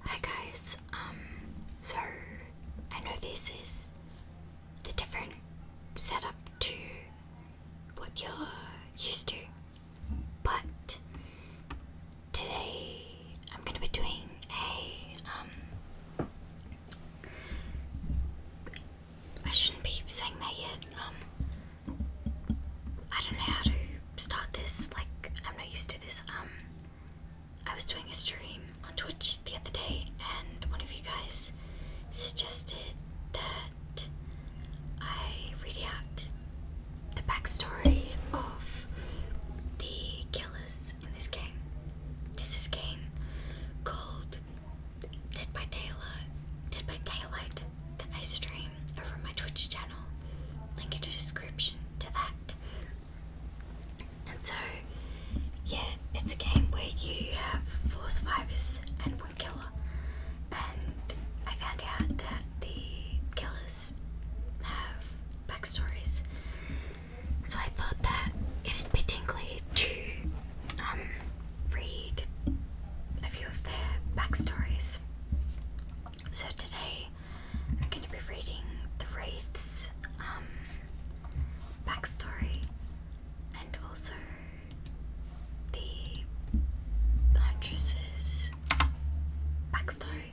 Hi guys, um, so I know this is the different setup to what you're used to, but today I'm gonna be doing a, um, I shouldn't be saying that yet, um, I don't know how to start this. Like, I'm not used to this. Um, I was doing a stream on Twitch the other day, and one of you guys suggested that I read out the backstory of the killers in this game. This is game called Dead by Daylight. Dead by Daylight that I stream over my Twitch channel. Link in the description to that. And so, yeah, it's a game where you have four survivors and one killer. And I found out that the killers have backstories. So I thought that it'd be tingly to um, read a few of their backstories. So today I'm going to be reading the Wraith's um, backstory and also the Huntress's backstory.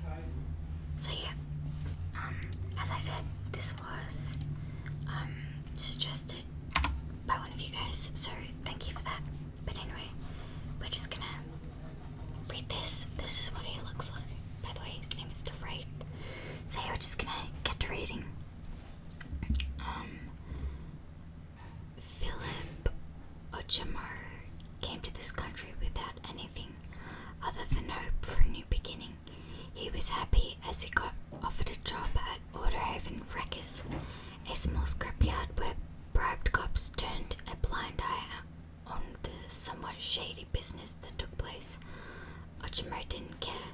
So yeah, um, as I said, this was um, suggested by one of you guys, so thank you for that. But anyway, we're just gonna read this. This is what he looks like. By the way, his name is The So we're just gonna get to reading. Um, Philip Ojamar came to this country without anything other than hope for a new beginning. He was happy as he got offered a job at Haven Wreckers, a small scrapyard where bribed cops turned a blind eye on the somewhat shady business that took place. Ochimo didn't care.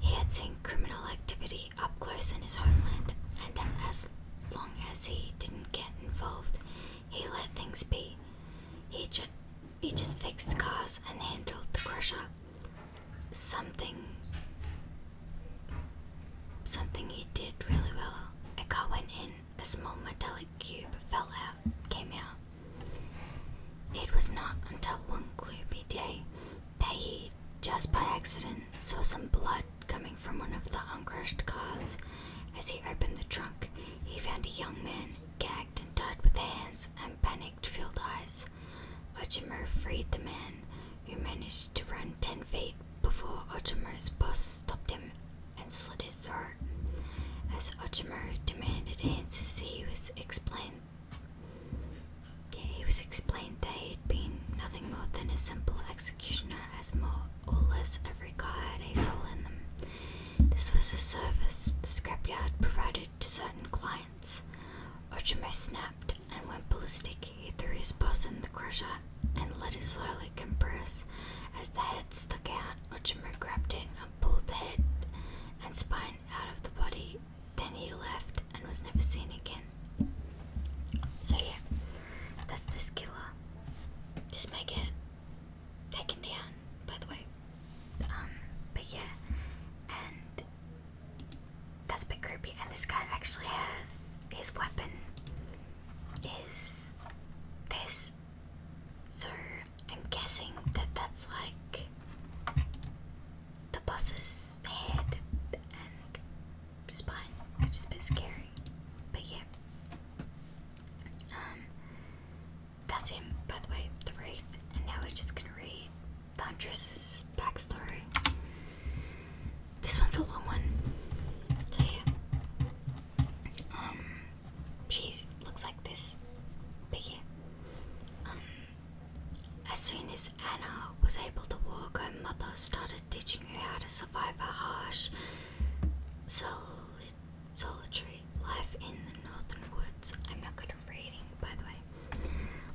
He had seen criminal activity up close in his homeland, and as long as he didn't get involved, he let things be. He, ju he just fixed cars and handled the crusher something something he did really well. A car went in, a small metallic cube fell out, came out. It was not until one gloomy day that he, just by accident, saw some blood coming from one of the uncrushed cars. As he opened the trunk, he found a young man gagged and tied with hands and panicked filled eyes. Ojimer freed the man, who managed to run 10 feet before Ojimer's boss stopped him and slit his throat. As Ojimer demanded answers, he was explained. he was explained that he had been nothing more than a simple executioner, as more or less every car had a soul in them. This was a service the scrapyard provided to certain clients. Ochimur snapped and went ballistic. He threw his boss in the crusher and let it slowly compress. As the head stuck out, Ochimur grabbed it and pulled the head and spine out of the body. Then he left and was never seen again. So yeah, that's this killer. This may get taken down, by the way. Um, but yeah, and that's a bit creepy. And this guy actually has his weapon is this. So I'm guessing that that's like the boss's head and spine, which is a bit scary. But yeah. Um, that's him, by the way, the Wraith. And now we're just gonna read the Huntress's backstory. This one's a long one. So yeah. Um she looks like this. But yeah. Um as soon as Anna was able to walk, her mother started teaching her how to survive a harsh sol solitary life in the northern woods. I'm not good at reading, by the way.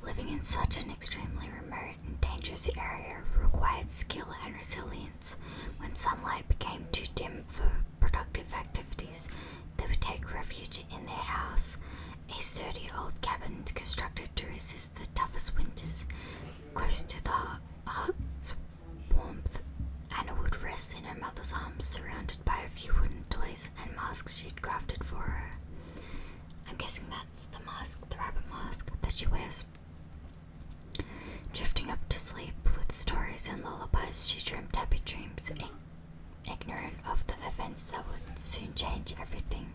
Living in such an extremely remote and dangerous area required skill and resilience. When sunlight became too dim for productive activities, they would take refuge in their house, a sturdy old cabin constructed to resist the toughest winters, close to the heart's warmth, and would rest in her mother's arms, surrounded by a few wooden toys and masks she'd crafted for her. I'm guessing that's the mask, the rabbit mask, that she wears. Drifting up to sleep with stories and lullabies, she dreamed happy dreams, ignorant of the events that would soon change everything.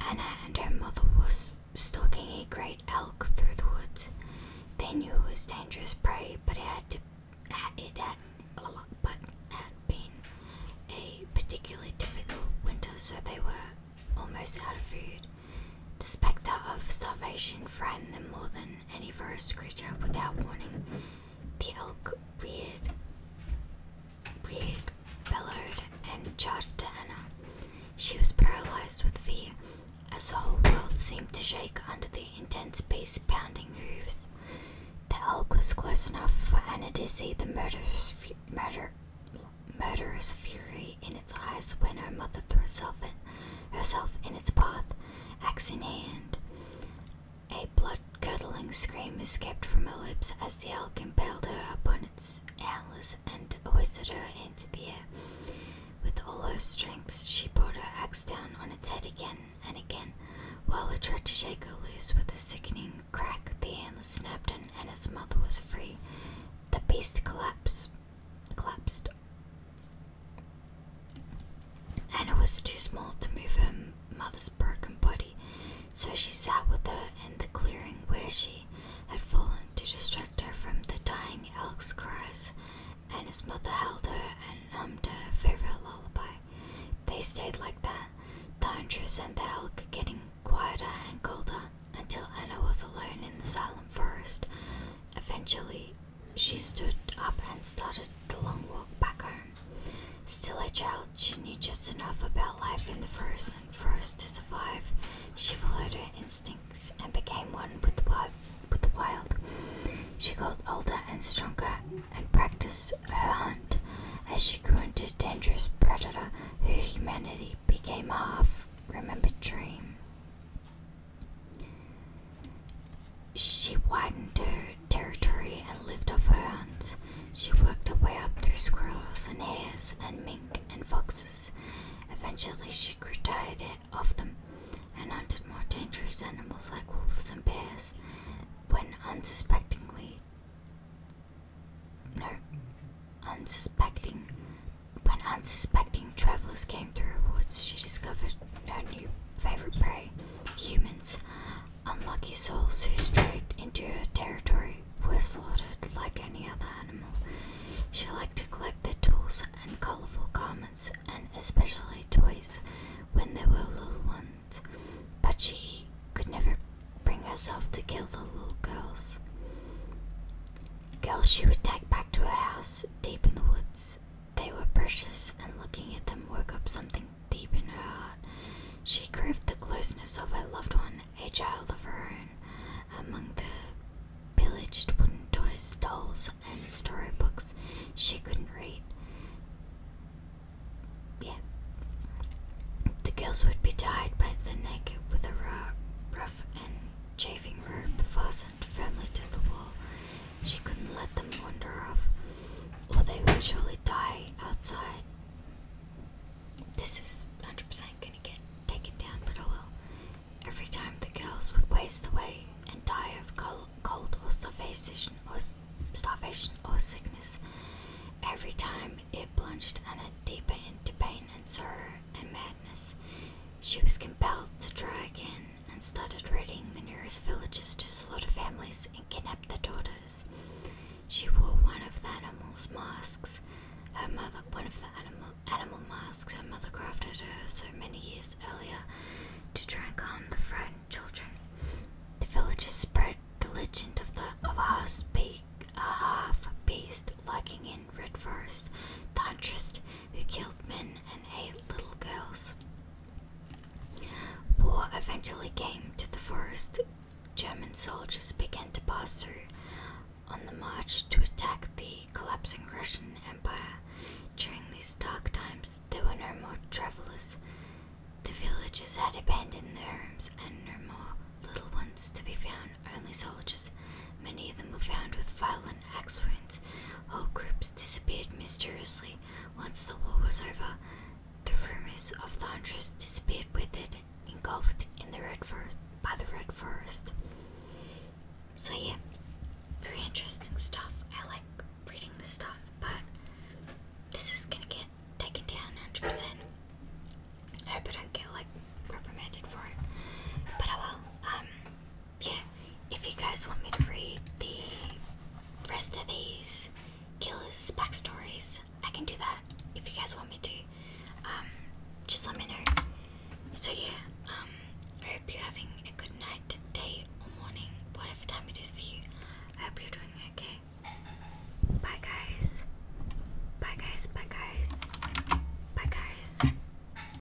Anna and her mother was stalking a great elk through the woods. They knew it was dangerous prey, but it had been a particularly difficult winter, so they were almost out of food. The spectre of starvation frightened them more than any forest creature. Without warning, the elk reared, reared bellowed and charged to Anna. She was paralyzed with fear, as the whole world seemed to shake under the intense beast's pounding hooves. The elk was close enough for Anna to see the murderous, murder, murderous fury in its eyes when her mother threw herself in, herself in its path, axe in hand. A blood curdling scream escaped from her lips as the elk impaled her upon its allies and hoisted her into the air. With all her strength, she brought her axe down on its head again and again, while it tried to shake her loose with a sickening crack. The antlers snapped and its mother was free. The beast collapsed. Collapsed. Anna was too small to move her mother's broken body. So she sat with her in the clearing where she had fallen to distract her from the dying elk's cries, and his mother held her and hummed her favorite lullaby. They stayed like that, the huntress and the elk getting quieter and colder until Anna was alone in the silent forest. Eventually, she stood up and started the long walk back home. Still a child, she knew just enough about life in the frozen forest to survive. She followed her instincts and became one with the wild. She got older and stronger and practiced her hunt as she grew into a dangerous predator who humanity became a half remembered dream. She widened her territory and lived off her hunts. She worked her way up through squirrels and hares and mink and foxes. Eventually, she grew tired of them and hunted more dangerous animals like wolves and bears when unsuspectingly. No, unsuspecting. When unsuspecting travelers came through her woods, she discovered her new favorite prey humans. Unlucky souls who strayed into her territory were slaughtered like any other animal. She liked to collect their tools and colorful garments, and especially toys when they were little ones, but she could never bring herself to kill the little girls. Girls she would take back to her house deep in the woods. They were precious, and looking at them woke up something deep in her heart. She craved the closeness of her loved one, a child of her own. Among the pillaged wooden toys, dolls, and storybooks she couldn't read. Yeah. The girls would be tied by the neck with a rough and chafing rope fastened firmly to the wall. She couldn't let them wander off, or they would surely die outside. This is 100% gonna get taken down, but oh well. Every time the girls would waste away and die of cold, cold or starvation or starvation or sickness. Every time it plunged Anna deeper into pain and sorrow and madness, she was compelled to try again and started raiding the nearest villages to slaughter families and kidnap their daughters. She wore one of the animals' masks. Her mother, one of the animal animal masks, her mother crafted her so many years earlier to try and calm the frightened children. The villagers spread the legend of the of a half beast lurking in Red Forest, the huntress who killed men and ate little girls. War eventually came to the forest. German soldiers began to pass through on the march to attack the collapsing Russian Empire. During these dark times, there were no more travelers. The villagers had abandoned their homes, and no more little ones to be found, only soldiers. Many of them were found with violence an accident. Whole groups disappeared mysteriously. Once the war was over, the rumors of the hunters disappeared with it, engulfed in the red forest by the red forest. So yeah, very interesting stuff. I like reading this stuff, but this is gonna get taken down 100 I hope I don't get like reprimanded for it, but I oh will. Um, yeah, if you guys want me to read the rest of these killers' backstories, I can do that if you guys want me to. Um, just let me know. So, yeah, um, I hope you're having a good night, day, or morning, whatever time it is for you. I hope you're doing okay. Bye, guys. Bye, guys. Bye, guys. Bye, guys.